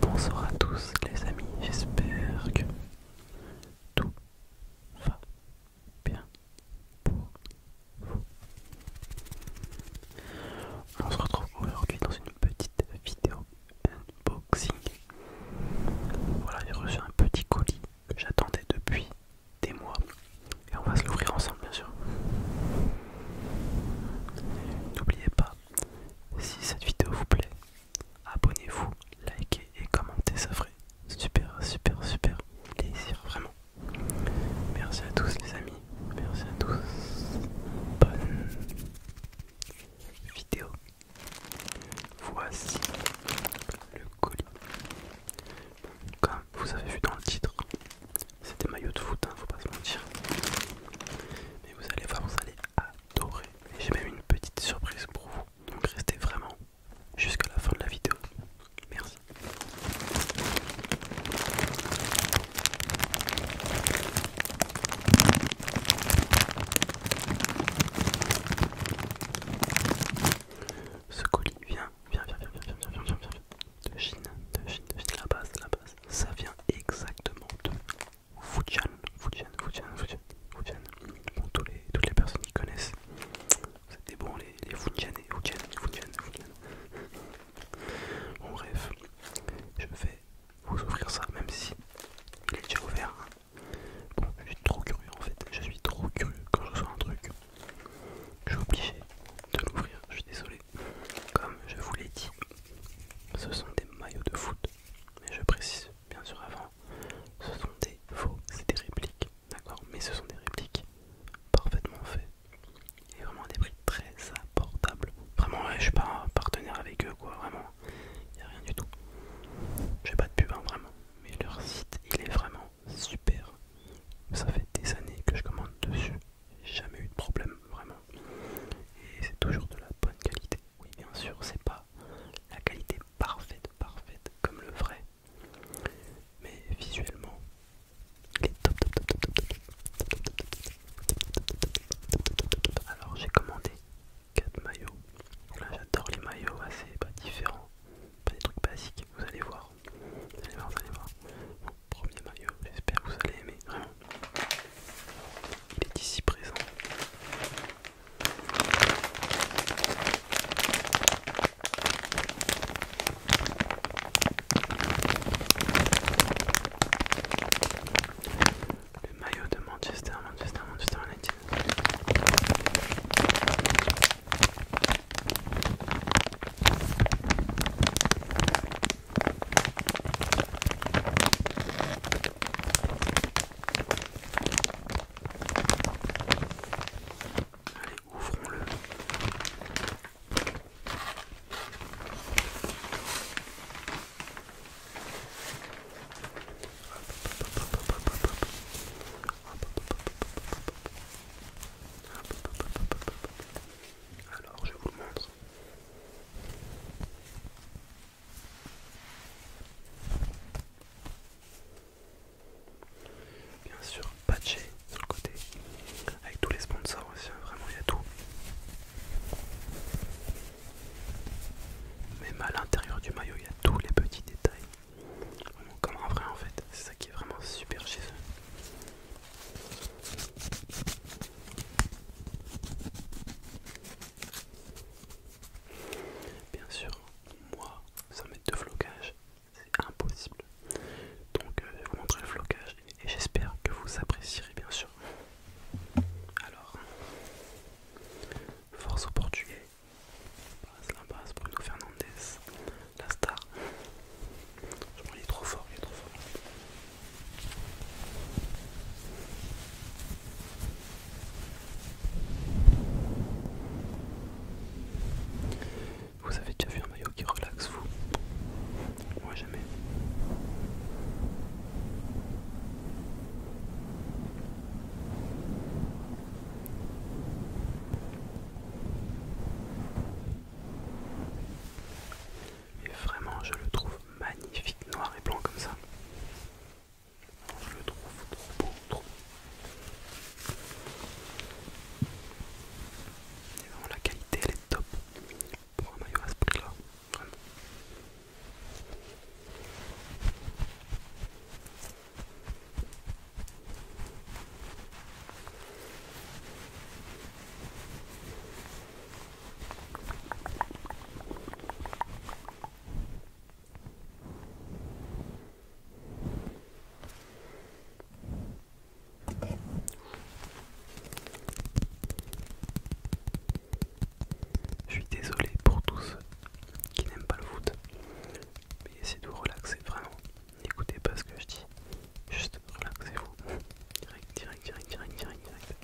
Bonsoir à tous les amis, j'espère que tout va bien pour vous. On se retrouve aujourd'hui dans une petite vidéo unboxing. Voilà, j'ai reçu un petit colis que j'attendais depuis des mois. Et on va se l'ouvrir ensemble, bien sûr. N'oubliez pas, si cette vidéo vous plaît, abonnez-vous, likez et commentez, ça ferait super, super, super plaisir, vraiment. Merci à tous les amis, merci à tous. Bonne vidéo. Voici le colis comme vous avez vu dans le titre, c'est des maillots de foot, hein, faut pas se mentir. Mais vous allez voir, vous allez adorer. J'ai même une petite surprise pour vous. Donc restez vraiment jusqu'à la fin de la vidéo. Merci. Ce colis, viens, viens, viens, viens, viens, viens, viens, viens, viens, de Chine, de Chine, de Chine, la base, la base. Ça vient exactement de Fujian, Fujian, Fujian, Fujian, Fujian. Bon, tous les, toutes les personnes qui connaissent, c'était bon, les, les et Fujian, Fujian, Fujian. Bon, bref, je vais vous offrir ça, même si il est déjà ouvert. Hein. Bon, je suis trop curieux en fait, je suis trop curieux quand je reçois un truc je suis obligé de l'ouvrir, je suis désolé. Comme je vous l'ai dit, ce sont des maillots de foot, mais je précise bien sûr avant, ce sont des faux, c'est des répliques, d'accord Mais ce sont des répliques parfaitement faites et vraiment des prix très abordables. Vraiment, je je suis pas partenaire avec eux, quoi, vraiment, il n'y a rien du tout. J'ai pas de pub, hein, vraiment, mais leur site il est vraiment super. Ça fait des années que je commande dessus. Jamais eu de problème, vraiment. Et c'est toujours de la bonne qualité. Oui, bien sûr, c'est pas la qualité parfaite, parfaite comme le vrai. Mais visuellement, Alors j'ai commandé 4 maillots. Là, j'adore les maillots assez pas bah, différents, pas des trucs basiques. Vous allez voir, premier maillot, j'espère que vous allez aimer, vraiment. Il est ici présent. Le maillot de Manchester, Manchester, Manchester United. Allez, ouvrons-le. Alors je vous le montre. Bien sûr, patché sur le côté, avec tous les sponsors aussi, hein, vraiment il y a tout. Même à l'intérieur du maillot, il y a tous les petits détails. comme en vrai en fait, c'est ça qui est vraiment super chez Bien sûr, moi, sans mettre de flocage, c'est impossible. Donc, euh, je vais vous montrer le flocage et j'espère que vous apprécierez, bien sûr. Alors, force au portugais. Passe la base, Bruno Fernandes la star. Il est trop fort, il est trop fort. Vous avez déjà vu un maillot qui relaxe vous Moi jamais. Mais vraiment, je le trouve magnifique, noir et blanc comme ça. Je le trouve trop beau, trop beau. vraiment, la qualité, elle est top pour un maillot à ce prix-là, vraiment. Je suis désolé pour tous ceux qui n'aiment pas le foot, mais essayez de vous relaxer vraiment. N'écoutez pas ce que je dis, Juste relaxez-vous. Direct, direct, direct, direct, direct,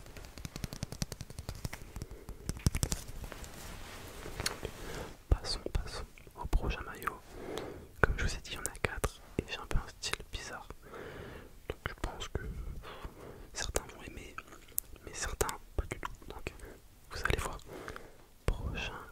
Passons, passons au prochain maillot. Comme je vous ai dit, il y en a 4 et j'ai un peu un style bizarre. Donc je pense que certains vont aimer, mais certains pas du tout. Donc vous allez voir. Prochain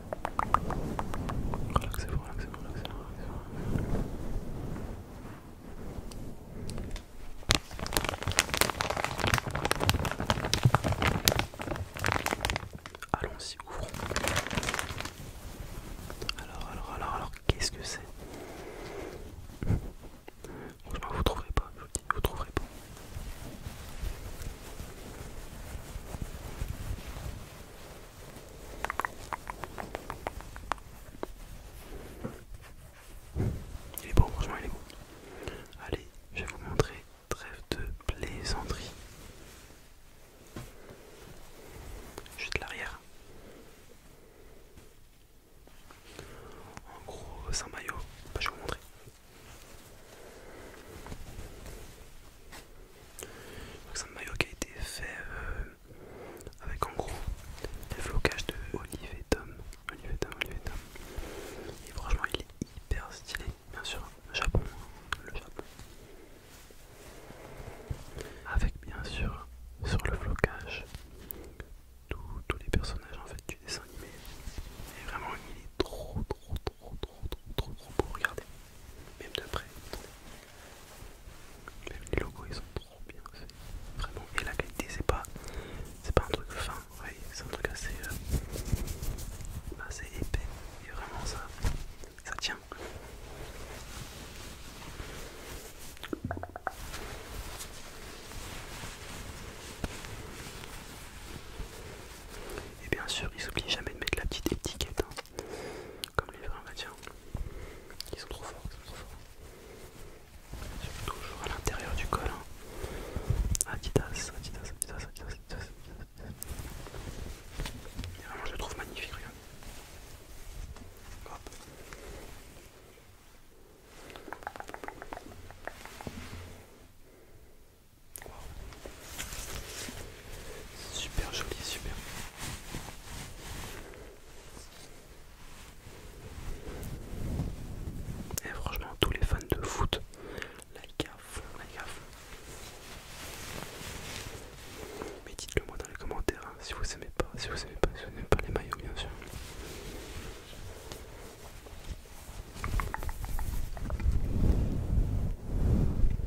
Relaxez-vous, relaxez-vous, relaxez-vous. Relaxez vous relaxez vous relaxez vous allons y ouvrons. Alors, alors, alors, alors, qu'est-ce que c'est Franchement, vous trouverez pas, je vous dis, vous trouverez pas. Il est beau, franchement il est beau. Allez, je vais vous montrer trêve de plaisanterie. de l'arrière. En gros, c'est un maillot. Bah, je vais vous montrer. C'est un maillot qui a été fait euh, avec en gros le flocages de Olivier Tom. et franchement, il est hyper stylé, bien sûr. Le Japon, hein, le Japon. Avec bien sûr sur le flocage tous les personnages en fait du dessin animé. Et vraiment, il est trop, trop, trop, trop, trop, trop, trop beau. Regardez, même de près. Les logos ils sont trop bien, vraiment. Et la qualité c'est pas, c'est pas un truc fin, c'est un truc euh, assez, épais. Et vraiment ça, ça tient. Et bien sûr, ils n'oublient jamais de mettre la petite étiquette. Hein comme les vins, Ils sont trop forts, Toujours à l'intérieur du col. Hein. Adidas, Adidas, Adidas, Adidas, vraiment, je le trouve magnifique, regarde. Super joli, super. Et franchement, tous les fans de foot, like gaffe, like Mais dites-le moi dans les commentaires hein, si vous aimez pas, si vous aimez pas, si vous n'aimez pas les maillots, bien sûr.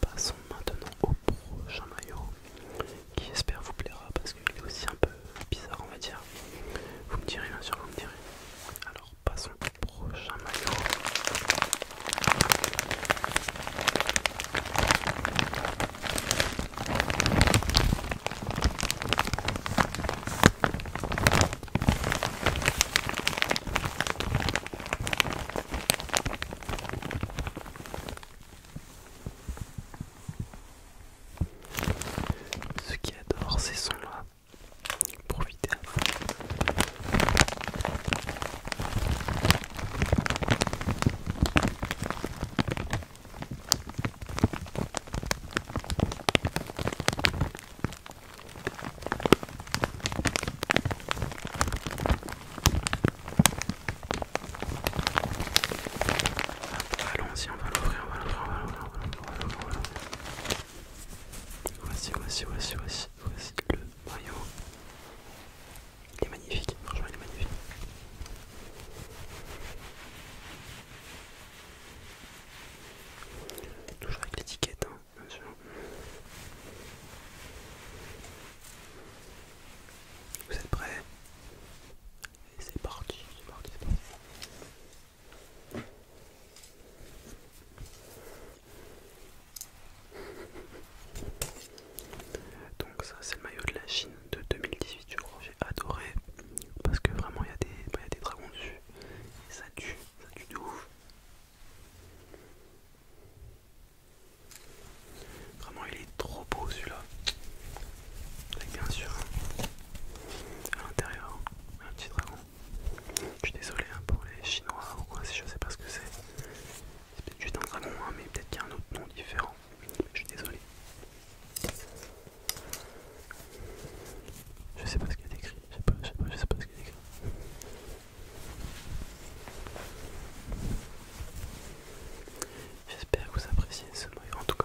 Passons maintenant au prochain maillot qui j'espère vous plaira parce qu'il est aussi un peu bizarre on va dire. Vous me direz bien sûr, vous me direz. Alors passons au prochain maillot. Ce qui adore ces sons-là, profitez à Allons-y, on va l'ouvrir, on va l'ouvrir, on va l'ouvrir, on va l'ouvrir, on Voici, voici, voici, voici, voici le maillot. Il est magnifique, franchement il est magnifique. Toujours avec l'étiquette, hein, bien sûr. Vous êtes prêts Et c'est parti, c'est parti, c'est parti. Donc ça c'est le maillot de la Chine de 2018 je crois j'ai adoré parce que vraiment bah, il y, a des dragons dessus et ça tue, ça tue de ouf. Vraiment il est trop beau celui-là. Avec bien sûr à l'intérieur hein. un petit dragon. Je suis désolé hein, pour les chinois ou quoi si je sais pas ce que c'est. C'est peut-être un dragon hein, mais peut-être qu'il y a un autre nom différent. Je suis désolé. Je sais pas ce qu'il y a d'écrit. Je sais pas, je ce qu'il y a d'écrit. J'espère que vous appréciez ce noyau en tout cas.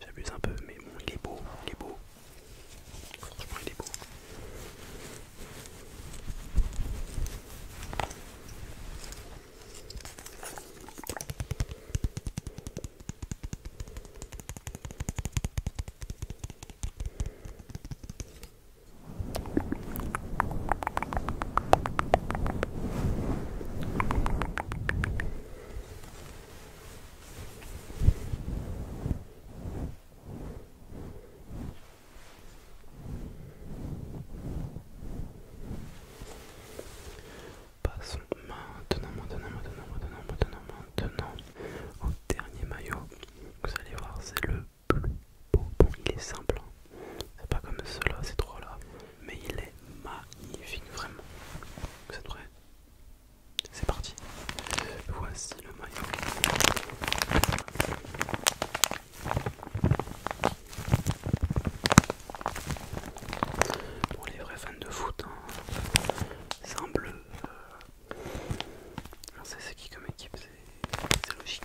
J'abuse un peu, mais bon, il est beau, il est beau. Franchement, il est beau. Passons maintenant, maintenant, maintenant, maintenant, maintenant, maintenant au dernier maillot. Vous allez voir, c'est le plus beau. il est simple, hein. C'est pas comme ceux-là, ces trois-là. Mais il est magnifique, vraiment. Vous êtes prêts C'est parti. Voici le maillot. Pour les vrais fans de foot, hein. c'est un bleu. on euh, sait c'est qui comme équipe, c'est logique.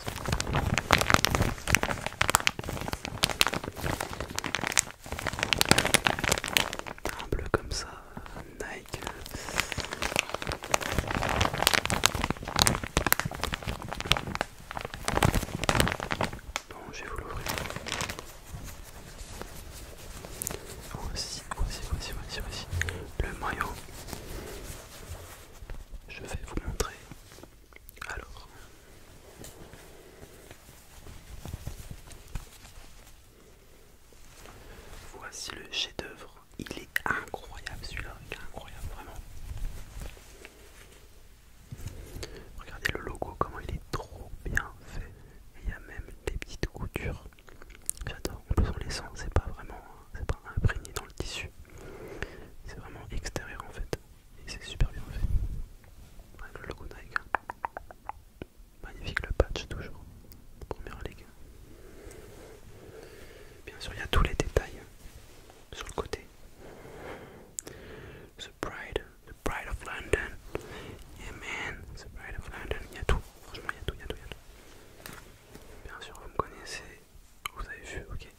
Un bleu comme ça, Nike. Bon, je vais vous l'ouvrir. Voici, voici, voici, voici, voici le maillot. Je vais vous montrer alors. Voici le chef-d'œuvre. Il est incroyable celui-là, il est incroyable vraiment. Regardez le logo, comment il est trop bien fait. Il y a même des petites coutures. J'adore. En plus on les sent, c'est pas vraiment, hein, c'est imprégné dans le tissu. C'est vraiment extérieur en fait et c'est super bien fait avec le logo Nike hein. magnifique le patch toujours première ligue bien sûr il y a tous les détails sur le côté The Pride The Pride of London Yeah man The Pride of London il y a tout franchement il y a tout il y a tout il y a tout bien sûr vous me connaissez vous avez vu ok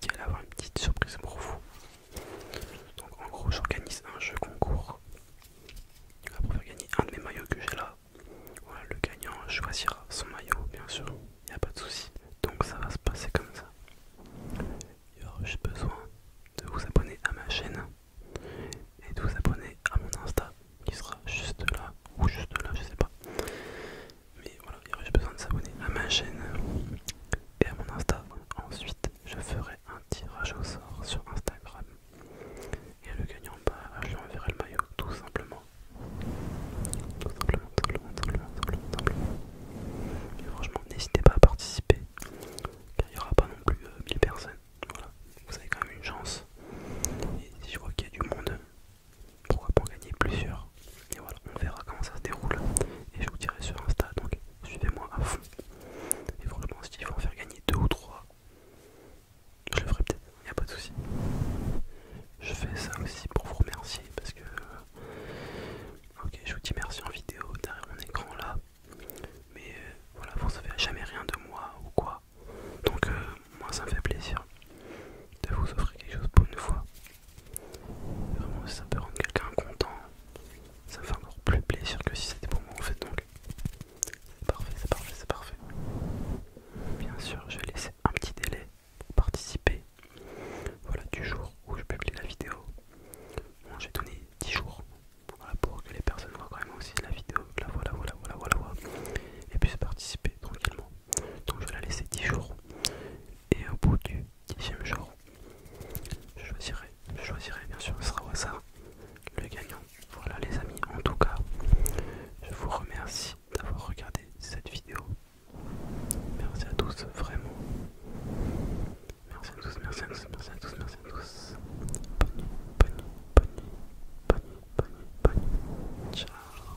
qui allait avoir une petite surprise pour vous. Donc en gros j'organise un jeu concours pour faire gagner un de mes maillots que j'ai là. Voilà, le gagnant choisira son maillot bien sûr, il n'y a pas de souci. Donc ça va se passer comme ça. Il y aura besoin de vous abonner à ma chaîne et de vous abonner à mon Insta qui sera juste là ou juste là, je sais pas mais voilà, il y aurait juste besoin de s'abonner à ma chaîne et à mon Insta. Ensuite, je ferai un tirage au sort sur Instagram et le gagnant, bah, je lui enverrai le maillot tout simplement. Tout simplement, tout simplement, tout simplement, Et franchement, n'hésitez pas à participer car il n'y aura pas non plus 1000 euh, personnes. Voilà, vous avez quand même une chance. Et si je vois qu'il y a du monde, pourquoi pas en gagner plusieurs et voilà on verra comment ça se déroule et je vous dirai sur Insta donc suivez-moi à fond et franchement si ils vont en faire gagner deux ou trois je le ferai peut-être, il n'y a pas de souci. Je fais ça aussi pour vous remercier parce que. Ok, je vous dis merci en vidéo derrière mon écran là. Mais euh, voilà, vous ne savez jamais rien de moi ou quoi. Donc, euh, moi, ça me fait plaisir de vous offrir quelque chose pour une fois. Vraiment, ça peut rendre quelqu'un content, ça me fait encore plus plaisir que si c'était pour moi en fait. Donc, c'est parfait, c'est parfait, c'est parfait. Bien sûr, je vais laisser un petit délai pour participer. Voilà, du jour où je publie la vidéo. Bon, j'ai donné 10 jours voilà, pour que les personnes voient quand même aussi la vidéo. La voilà, voilà, voilà, voilà, voilà. Et puissent participer tranquillement. Donc, je vais la laisser 10 jours et au bout du dixième jour, je choisirai, choisirai bien sûr, ce sera le gagnant. Voilà les amis, en tout cas, je vous remercie d'avoir regardé cette vidéo. Merci à tous, vraiment. Merci à tous, merci à tous, merci à tous, merci à tous. Bonne nuit, bonne bonne bonne bonne bonne Ciao.